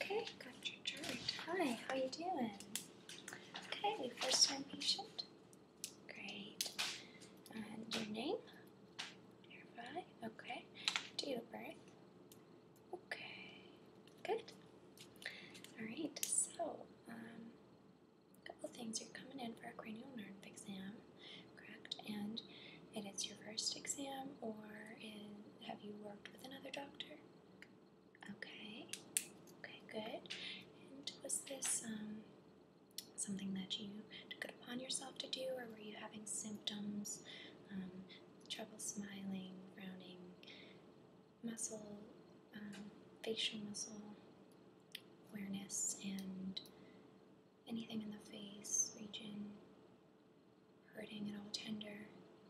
Okay, got your jury. Hi, how you doing? Okay, first time patient. Great. And your name? Your Okay. Date of birth. Okay, good. All right, so um, a couple things. You're coming in for a cranial nerve exam, correct? And it is your first exam, or in, have you worked with another doctor? Okay, okay, good. And was this um, something that you took upon yourself to do, or were you having symptoms um, trouble smiling, frowning, muscle, um, facial muscle awareness, and anything in the face region hurting at all tender.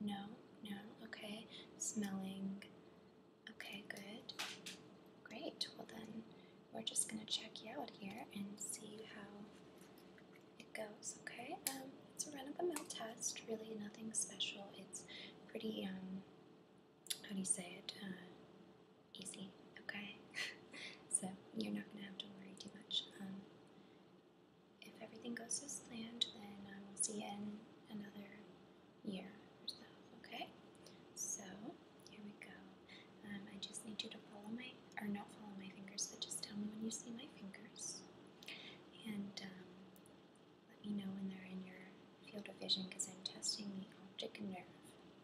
No, no, okay. Smelling. Okay, good. Great. Well, then we're just going to check you out here and see how it goes, okay? Um, it's a run-of-the-mill test, really nothing special. It's pretty, um, how do you say it, uh, easy, okay? so you're not going to have to worry too much. Um, if everything goes as planned, then um, we'll see you in another year or so, okay? So, here we go. Um, I just need you to follow my or not follow my fingers, but just tell me when you see my fingers. And um, let me know when they're in your field of vision because I'm testing the optic nerve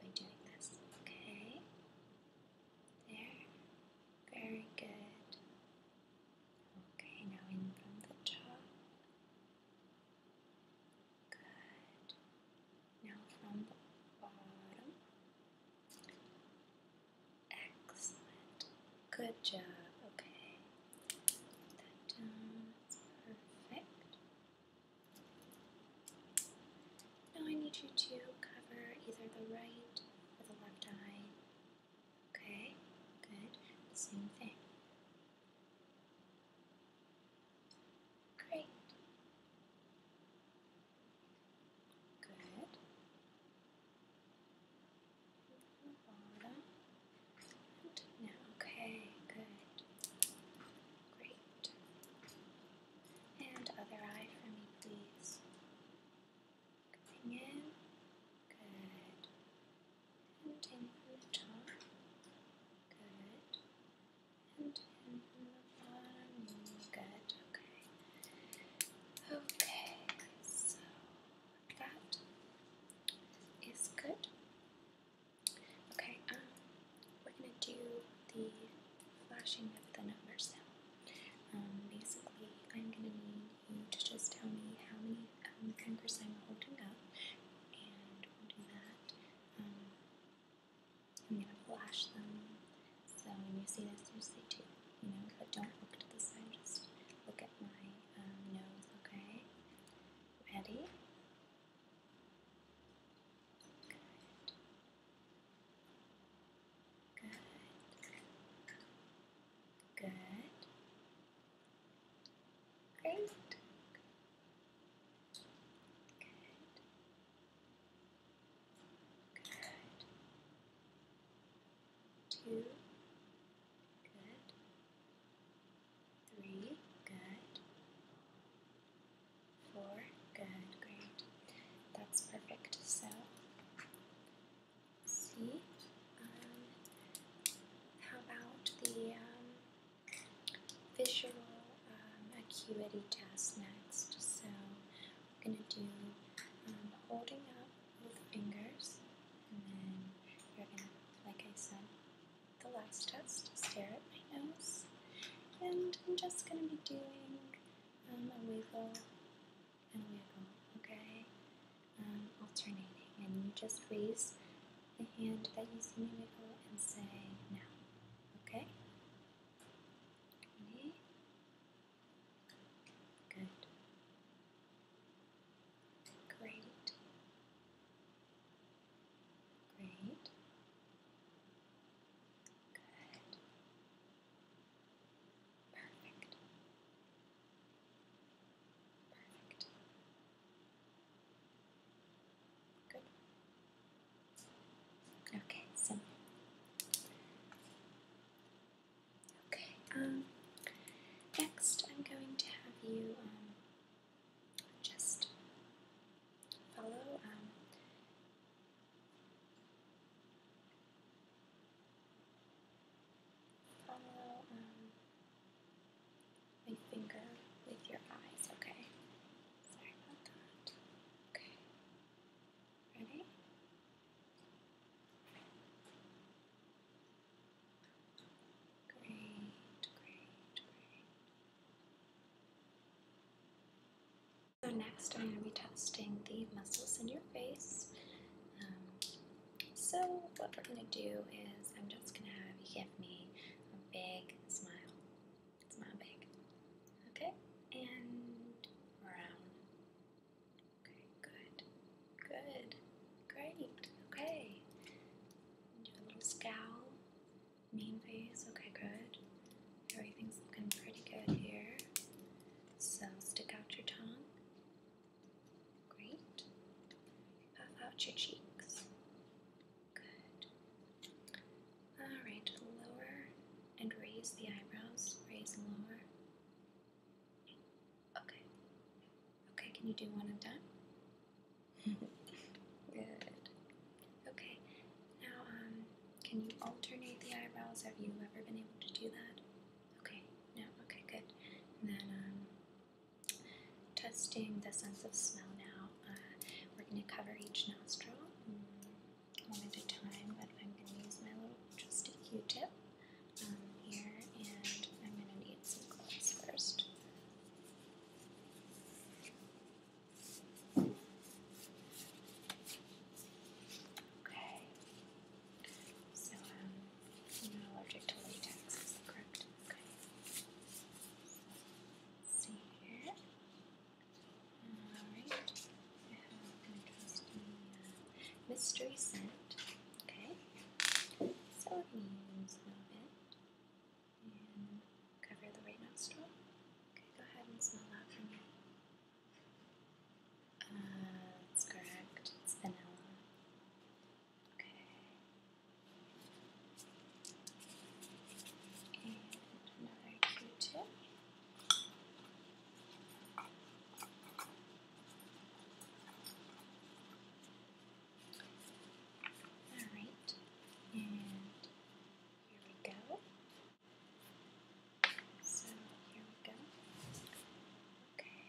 by doing this. Okay? There. Very good. Okay, now in from the top. Good. Now from bottom. Excellent. Good job. Okay. perfect. Now I need you to cover either the right or the left eye. Okay. Good. same thing. Great. Good. Bottom. now, okay, good. Great. And other eye for me, please. Coming in. Good. And in the top. Good. And in the okay. Okay, so that um, is good. Okay, um, we're gonna do the flashing of the numbers now. Um, basically, I'm gonna need you to just tell me how many fingers um, I'm holding up, and we'll do that. Um, I'm going to flash them. So when you see this, you see two. You know, but don't look to the side, just look at my um, nose, okay? Ready? Good. Good. Good. Great. Good. Good. Two. Good. Three. Good. Four. Good. Great. That's perfect. So, see, um, how about the um, um, acuity test next. So I'm gonna do um, holding up with fingers, and then you're gonna, like I said, the last test, stare at my nose, and I'm just gonna be doing um, a wiggle and wiggle, okay? alternating, and you just raise the hand that you see me wiggle and say no, okay? Okay. Good. Great. Great. Good. Perfect. Perfect. Okay, so okay. Um, next, I'm going to have you um, just follow. Um, Follow um, my finger with your eyes, okay? Okay. Ready? Great, great, great. So next I'm going to be testing the muscles in your face. Um, so what we're going to do is I'm just going to have you give me a big smile. It's not big. Okay, and round. Okay, good. Good. Great. Okay. Do a little scowl. Mean face. Okay, good. Everything's looking pretty good here. So stick out your tongue. Great. Puff out your cheeks. Good. Alright, lower and raise the eyebrows. Raise and lower. Okay. Okay, can you do one and done? Good. Okay. Now, um, can you alternate the eyebrows? Have you ever been able to do that? Okay. No. Okay. Good. And then, um, Testing the sense of smell now. Uh, we're going to cover each nostril mm, one at a time, but I'm going to use my little just a tip um, here, and I'm going to need some gloves first. Okay. So, um, I'm allergic to latex, Okay see here. Alright, I have an interesting uh, mystery scent. Okay, so I'm going to use a little bit and cover the right nostril. Okay, go ahead and smell that for me. Uh, that's correct, it's vanilla. Okay, and another Q-tip. Alright, and here we go. So here we go. Okay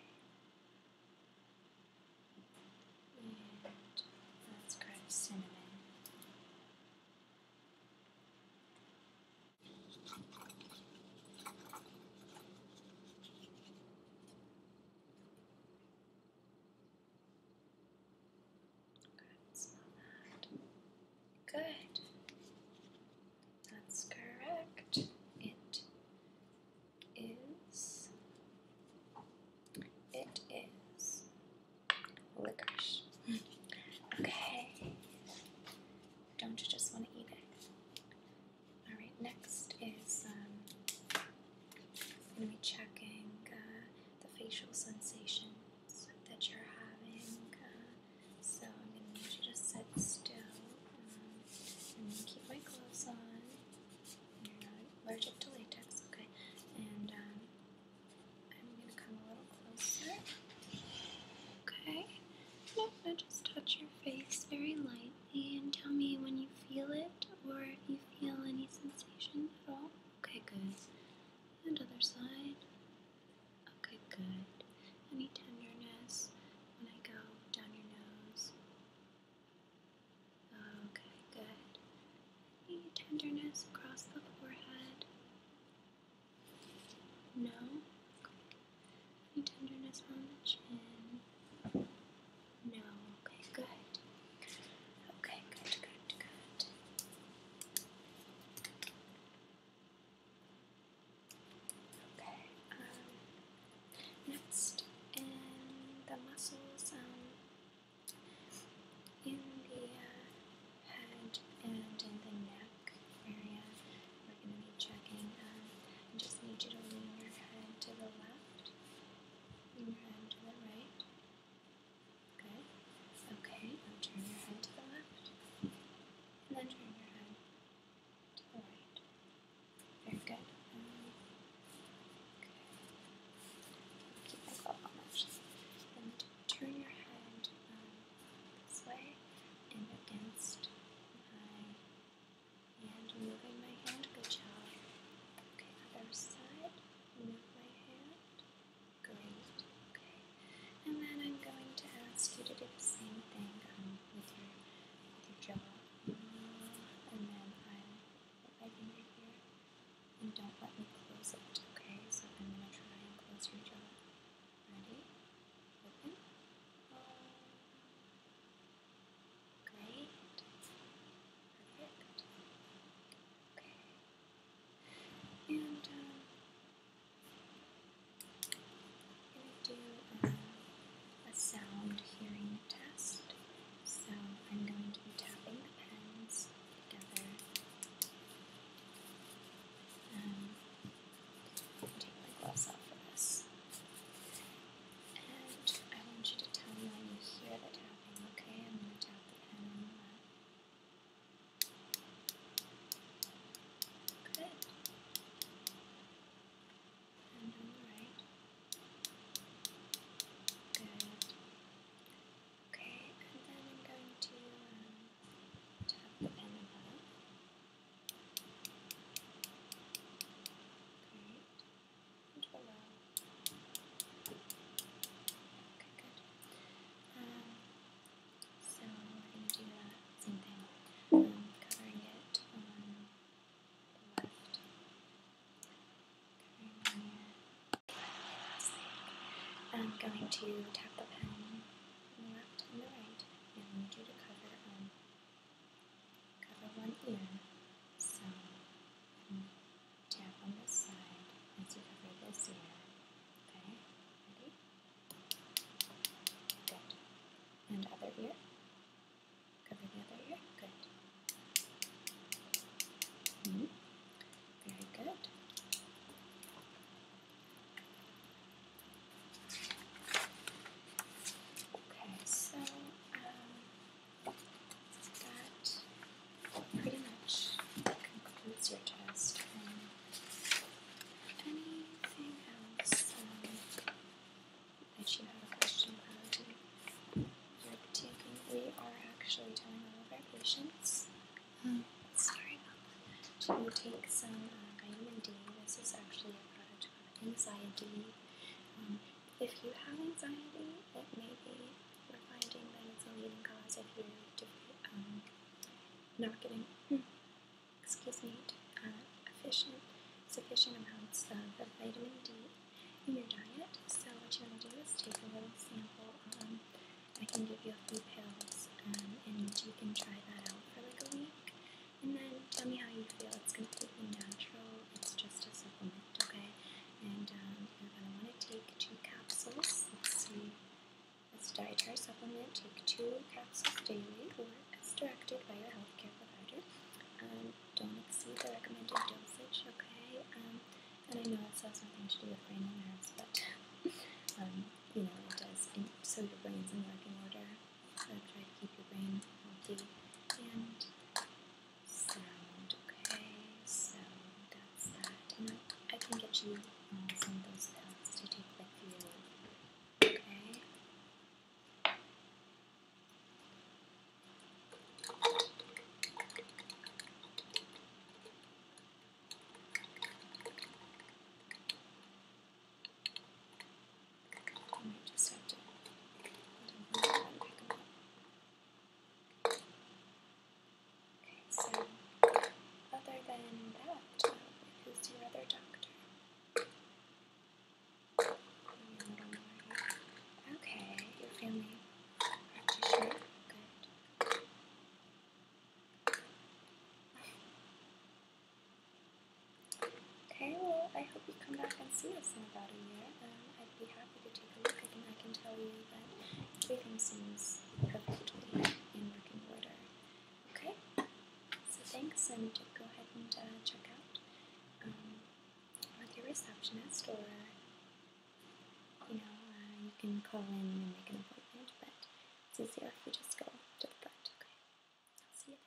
let's grab cinnamon. Good, smell that. Good. That's correct. It is it is licorice. okay. Don't you just want to eat it? Alright, next is um I'm checking uh, the facial sensations that you're having. Uh, so I'm gonna need you to sit still um, and keep my gloves on. You're not allergic to latex, okay? And um, I'm gonna come a little closer. Okay. I'm gonna just touch your face very lightly and tell me when you feel it or if you feel any sensation at all. Okay, good. And other side. Okay, good. Any tenderness when I go down your nose? Okay, good. Any tenderness across the forehead? No? Okay. Any tenderness on the chin? No. Okay, good. Okay, good, good, good. Okay, um, Next, in the muscles um, in the uh, head and in the neck area, we're going to be checking. Um, I just need you to lean your head to the left, lean your head to the right. Good. Okay, now turn your head to the left, and then turn your head very good. okay. Keep my glove on And turn your hand um, this way and against my hand, moving my hand. Good job. Okay, other side. Move my hand. Great. Okay. And then I'm going to ask you to do the same thing um, with your with your jaw. And then I'm put my here and don't let me close it, okay? So I'm gonna try and close your jaw. Ready? Open. Great. Perfect. Okay. And um, I'm going to do a sound hearing test. So I'm going to be tapping the pens together. Um, take my gloves off for this. And I want you to tell me when you hear the tapping, okay? I'm going to tap the pen on the Good. And Good. Okay, and then I'm going to um, tap below. Okay, good. Um, so we do that um, covering it on the left. Covering it. I'm um, going to tap the pen on the left and the right, and I need you to cover um, cover one ear. So um, tap on this side as you cover this ear. Okay, ready? And other ear. Cover the other ear. Good. Mm-hmm. Very good. Okay, so um, that pretty much concludes your test. Anything else that you have a question about? you taking, we are actually telling all of our patients. Sorry about that. To take some vitamin D. This is actually a product of anxiety. Um, if you have anxiety, it may be we're finding that it's a leading cause if you're um, not getting. Hmm, excuse me, uh, efficient, sufficient amounts of vitamin D in your diet. So what you want to do is take a little sample. Um, I can give you a few pills, um, and you can try that out for like a week, and then tell me how you feel. It's completely natural. It's just a supplement, okay? And um, you're gonna want to take two capsules. Let's see as a dietary supplement, take two capsules daily or as directed by your healthcare provider. Um, don't exceed the recommended dosage, okay? Um, and I know this has nothing to do with brain and nerves, but um, you know, it does. so your brain's in working order. So try to keep your brain healthy and sound, okay? So pads. I can get you some of those pads to take with you. Okay? Okay, so other than that, who's your other doctor? Okay, your family practitioner. Good. Okay, well, I hope you come back and see us in about a year. Um, I'd be happy to take a look. I I can tell you that Everything seems perfectly in working order. Okay? So thanks, I need to go ahead and uh, check out um, with your receptionist, or you know, uh, you can call in and make an appointment, but it's easier if you just go to the front. Okay? I'll see you